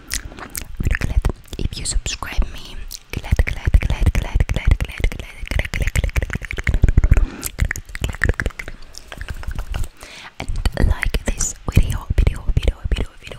very glad if you subscribe me. Glad, glad, glad, glad, glad, glad, glad, glad, glad, glad, and like this video, video, video, video, video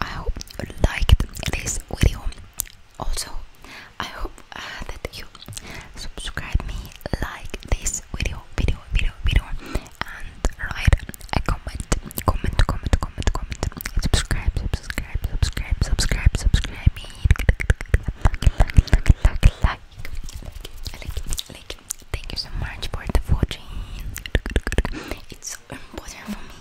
I hope you liked this video also I hope uh, that you subscribe me like this video video video video and write a comment comment comment comment comment subscribe subscribe subscribe subscribe subscribe me like like like like like like thank you so much for the watching it's so important for me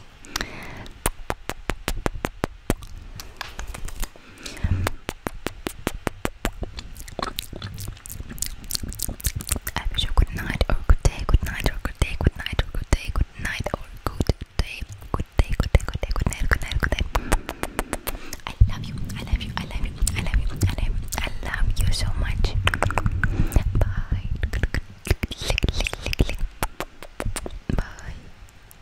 I wish good night or good day, good night or good day, good night or good day, good night or good day, good day, good day, good night, good night, good night. I love you, I love you, I love you, I love you, I love I love you so much. Bye.